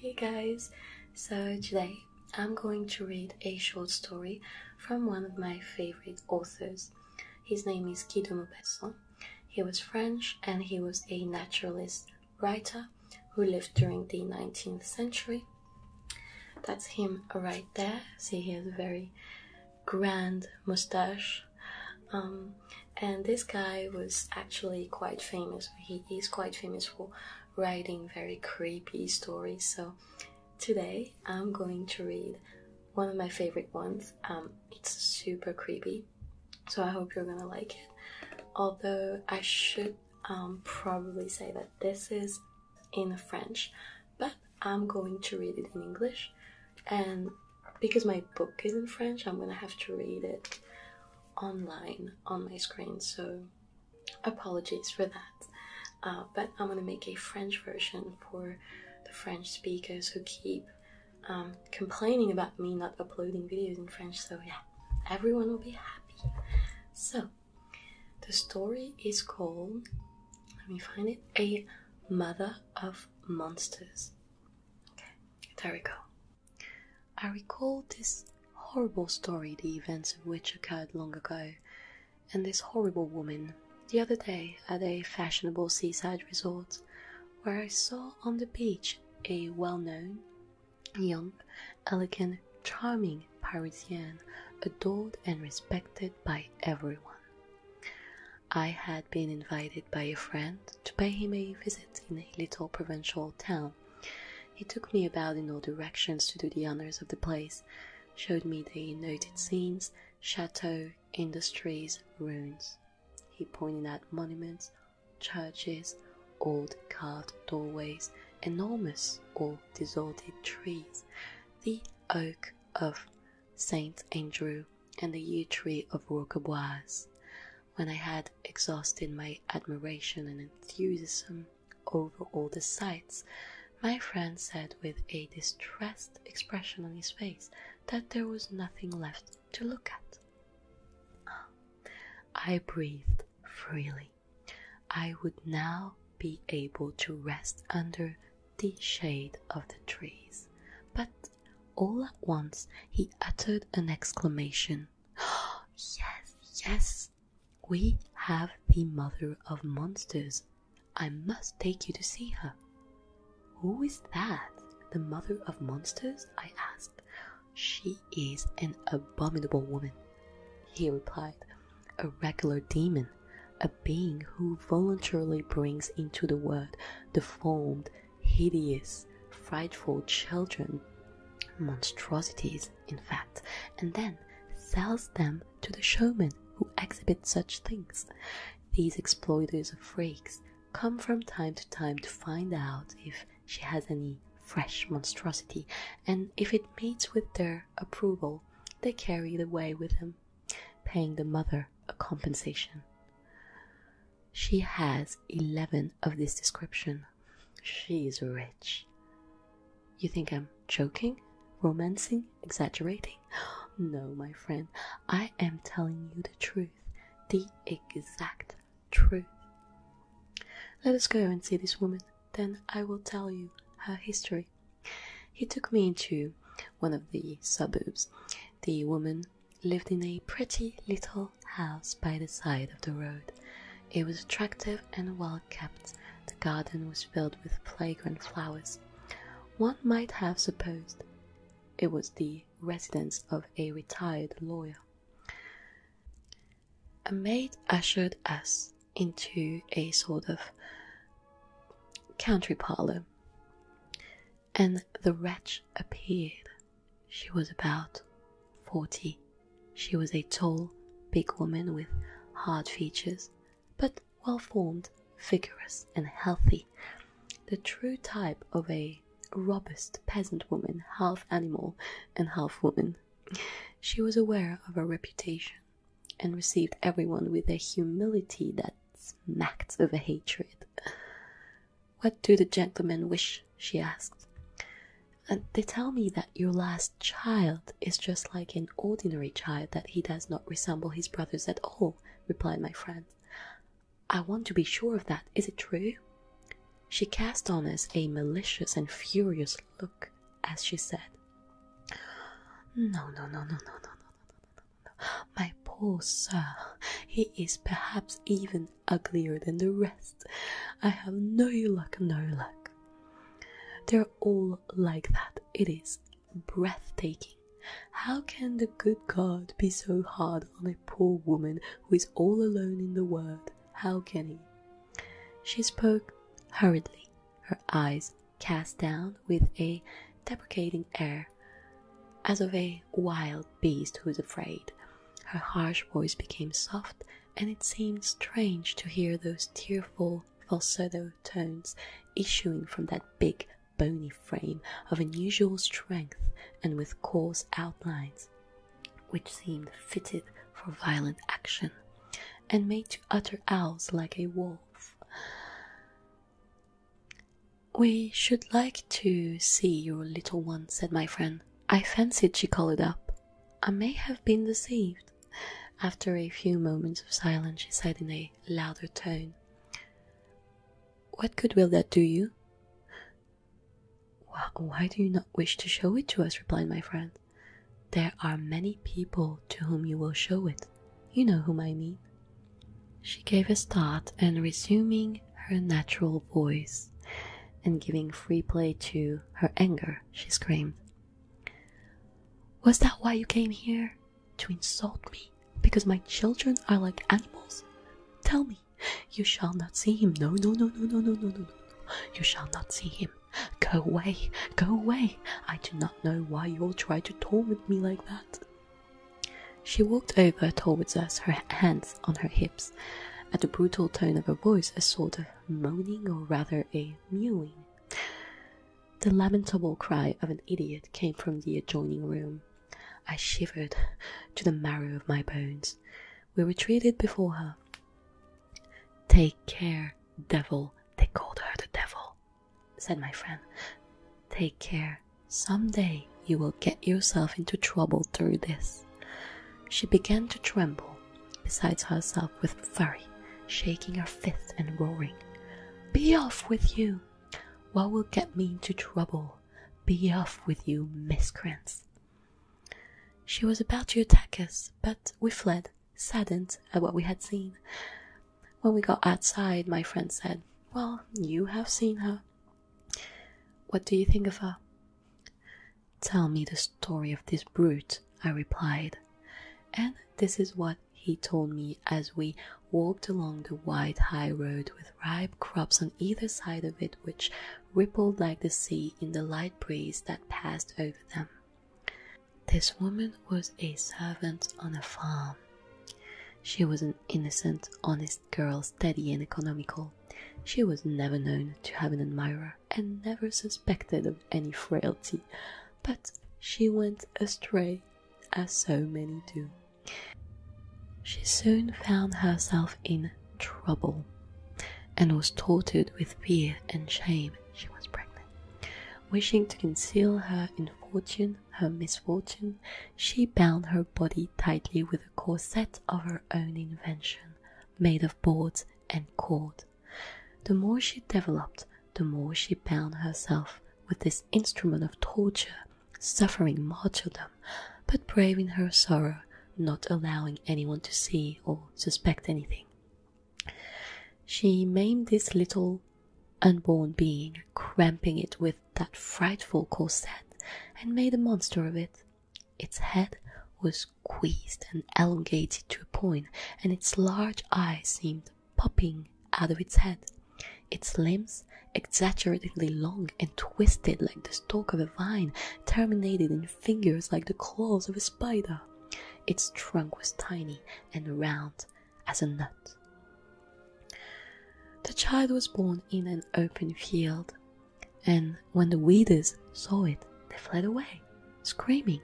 Hey guys! So today I'm going to read a short story from one of my favorite authors. His name is Guy de Maupassant. He was French and he was a naturalist writer who lived during the 19th century. That's him right there. See, he has a very grand mustache. Um, and this guy was actually quite famous he is quite famous for writing very creepy stories so today i'm going to read one of my favorite ones um, it's super creepy so i hope you're gonna like it although i should um, probably say that this is in french but i'm going to read it in english and because my book is in french i'm gonna have to read it online on my screen, so apologies for that. Uh, but I'm gonna make a French version for the French speakers who keep um, complaining about me not uploading videos in French, so yeah, everyone will be happy. So, the story is called, let me find it, A Mother of Monsters. Okay, there we go. I recall this horrible story, the events of which occurred long ago, and this horrible woman, the other day at a fashionable seaside resort, where I saw on the beach a well known, young, elegant, charming Parisienne, adored and respected by everyone. I had been invited by a friend to pay him a visit in a little provincial town. He took me about in all directions to do the honors of the place, showed me the noted scenes, chateaux, industries, ruins. He pointed out monuments, churches, old carved doorways, enormous or disordered trees, the oak of Saint Andrew and the yew tree of Roqueboise when I had exhausted my admiration and enthusiasm over all the sights, my friend said with a distressed expression on his face that there was nothing left to look at. I breathed freely. I would now be able to rest under the shade of the trees, but all at once he uttered an exclamation. yes, yes, we have the mother of monsters. I must take you to see her. Who is that? The mother of monsters? I asked. She is an abominable woman, he replied. A regular demon, a being who voluntarily brings into the world deformed hideous, frightful children, monstrosities, in fact, and then sells them to the showmen who exhibit such things. These exploiters of freaks come from time to time to find out if she has any fresh monstrosity, and if it meets with their approval, they carry it away with them, paying the mother a compensation. She has 11 of this description. She is rich. You think I'm joking, romancing, exaggerating? No, my friend, I am telling you the truth, the exact truth. Let us go and see this woman, then I will tell you her history. He took me into one of the suburbs. The woman lived in a pretty little house by the side of the road. It was attractive and well kept. The garden was filled with fragrant flowers. One might have supposed it was the residence of a retired lawyer. A maid ushered us into a sort of country parlour and the wretch appeared. She was about forty. She was a tall, big woman with hard features, but well formed, vigorous, and healthy. The true type of a robust peasant woman, half animal and half woman. She was aware of her reputation and received everyone with a humility that smacked of a hatred. What do the gentlemen wish? she asked. And uh, they tell me that your last child is just like an ordinary child, that he does not resemble his brothers at all, replied my friend. I want to be sure of that. Is it true? She cast on us a malicious and furious look as she said, No, no, no, no, no, no, no. My poor sir, he is perhaps even uglier than the rest. I have no luck, no luck. They're all like that. It is breathtaking. How can the good God be so hard on a poor woman who is all alone in the world? How can he? She spoke hurriedly, her eyes cast down with a deprecating air as of a wild beast who is afraid. Her harsh voice became soft, and it seemed strange to hear those tearful falsetto tones issuing from that big, bony frame of unusual strength and with coarse outlines, which seemed fitted for violent action, and made to utter owls like a wolf. We should like to see your little one, said my friend. I fancied she colored up. I may have been deceived. After a few moments of silence, she said in a louder tone, What good will that do you? Why do you not wish to show it to us? replied my friend. There are many people to whom you will show it. You know whom I mean. She gave a start and resuming her natural voice and giving free play to her anger, she screamed. Was that why you came here? To insult me? Because my children are like animals? Tell me, you shall not see him. No, no, no, no, no, no, no, no, no. You shall not see him. Go away, go away. I do not know why you all try to torment me like that. She walked over towards us, her hands on her hips. At the brutal tone of her voice, I sort of moaning, or rather a mewing. The lamentable cry of an idiot came from the adjoining room. I shivered to the marrow of my bones. We retreated before her. Take care, devil! They called her the devil said my friend. Take care. Some day you will get yourself into trouble through this. She began to tremble, besides herself with fury, shaking her fist and roaring. Be off with you! What will get me into trouble? Be off with you, miscreants! She was about to attack us, but we fled, saddened at what we had seen. When we got outside, my friend said, Well, you have seen her. What do you think of her? Tell me the story of this brute, I replied. And this is what he told me as we walked along the wide high road with ripe crops on either side of it, which rippled like the sea in the light breeze that passed over them. This woman was a servant on a farm. She was an innocent, honest girl, steady and economical. She was never known to have an admirer and never suspected of any frailty, but she went astray, as so many do. She soon found herself in trouble and was tortured with fear and shame. She was pregnant. Wishing to conceal her infortune, her misfortune, she bound her body tightly with a corset of her own invention, made of boards and cord. The more she developed, the more she bound herself with this instrument of torture, suffering martyrdom, but braving her sorrow, not allowing anyone to see or suspect anything. She maimed this little unborn being, cramping it with that frightful corset, and made a monster of it. Its head was squeezed and elongated to a point, and its large eyes seemed popping out of its head. Its limbs, exaggeratedly long and twisted like the stalk of a vine, terminated in fingers like the claws of a spider. Its trunk was tiny and round as a nut. The child was born in an open field, and when the weeders saw it, they fled away, screaming,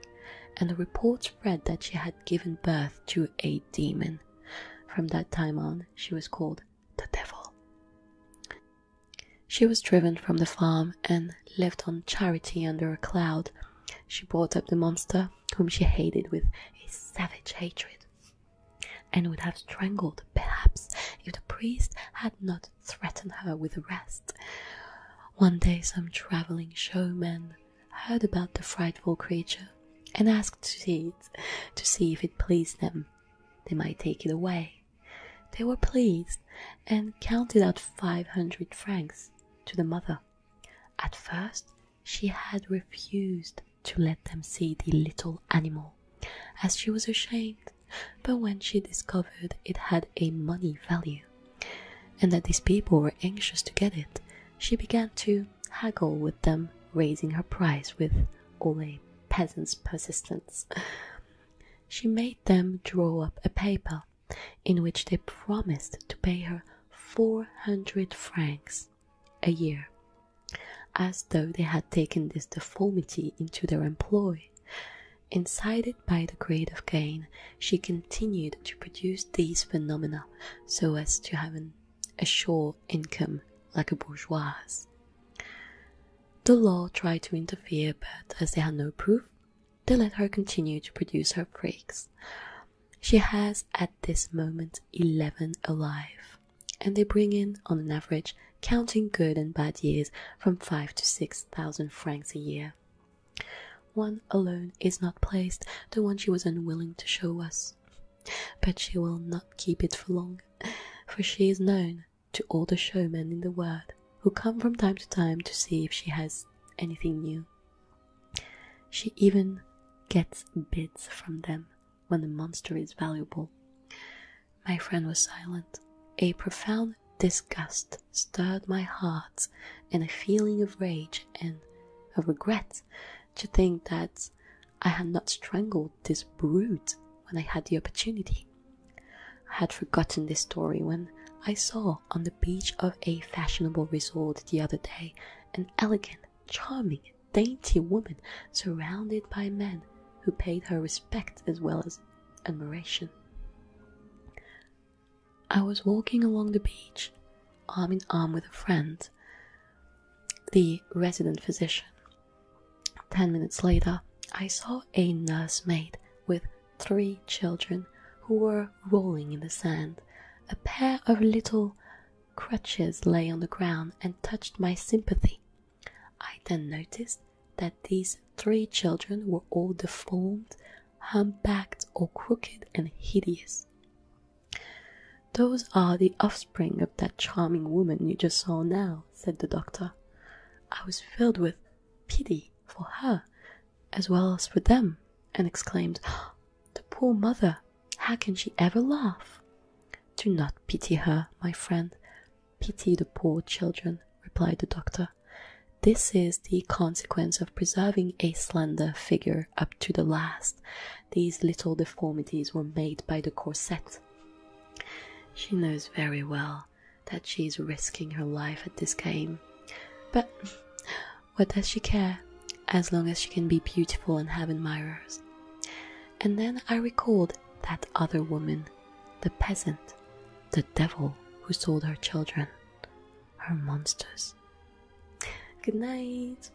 and the report spread that she had given birth to a demon. From that time on, she was called the devil. She was driven from the farm and left on charity under a cloud. She brought up the monster whom she hated with a savage hatred, and would have strangled, perhaps, if the priest had not threatened her with arrest. One day, some travelling showman heard about the frightful creature and asked to see it, to see if it pleased them. They might take it away. They were pleased and counted out five hundred francs to the mother. At first, she had refused to let them see the little animal, as she was ashamed, but when she discovered it had a money value, and that these people were anxious to get it, she began to haggle with them, raising her price with all a peasant's persistence. She made them draw up a paper in which they promised to pay her 400 francs a year, as though they had taken this deformity into their employ. Incited by the greed of gain, she continued to produce these phenomena so as to have a sure income like a bourgeois. The law tried to interfere, but as they had no proof, they let her continue to produce her freaks. She has at this moment 11 alive, and they bring in, on an average, counting good and bad years, from 5 to 6,000 francs a year. One alone is not placed, the one she was unwilling to show us. But she will not keep it for long, for she is known to all the showmen in the world, who come from time to time to see if she has anything new. She even gets bids from them when the monster is valuable. My friend was silent. A profound disgust stirred my heart, and a feeling of rage and of regret to think that I had not strangled this brute when I had the opportunity. I had forgotten this story when I saw on the beach of a fashionable resort the other day an elegant, charming, dainty woman surrounded by men who paid her respect as well as admiration. I was walking along the beach, arm in arm with a friend, the resident physician. Ten minutes later, I saw a nursemaid with three children who were rolling in the sand. A pair of little crutches lay on the ground and touched my sympathy. I then noticed that these three children were all deformed, hump-backed, or crooked and hideous. Those are the offspring of that charming woman you just saw now, said the doctor. I was filled with pity for her as well as for them, and exclaimed, The poor mother! How can she ever laugh? Do not pity her, my friend. Pity the poor children, replied the doctor. This is the consequence of preserving a slender figure up to the last. These little deformities were made by the corset. She knows very well that she is risking her life at this game. But what does she care? As long as she can be beautiful and have admirers. And then I recalled that other woman, the peasant, the devil who sold her children, her monsters. Good night.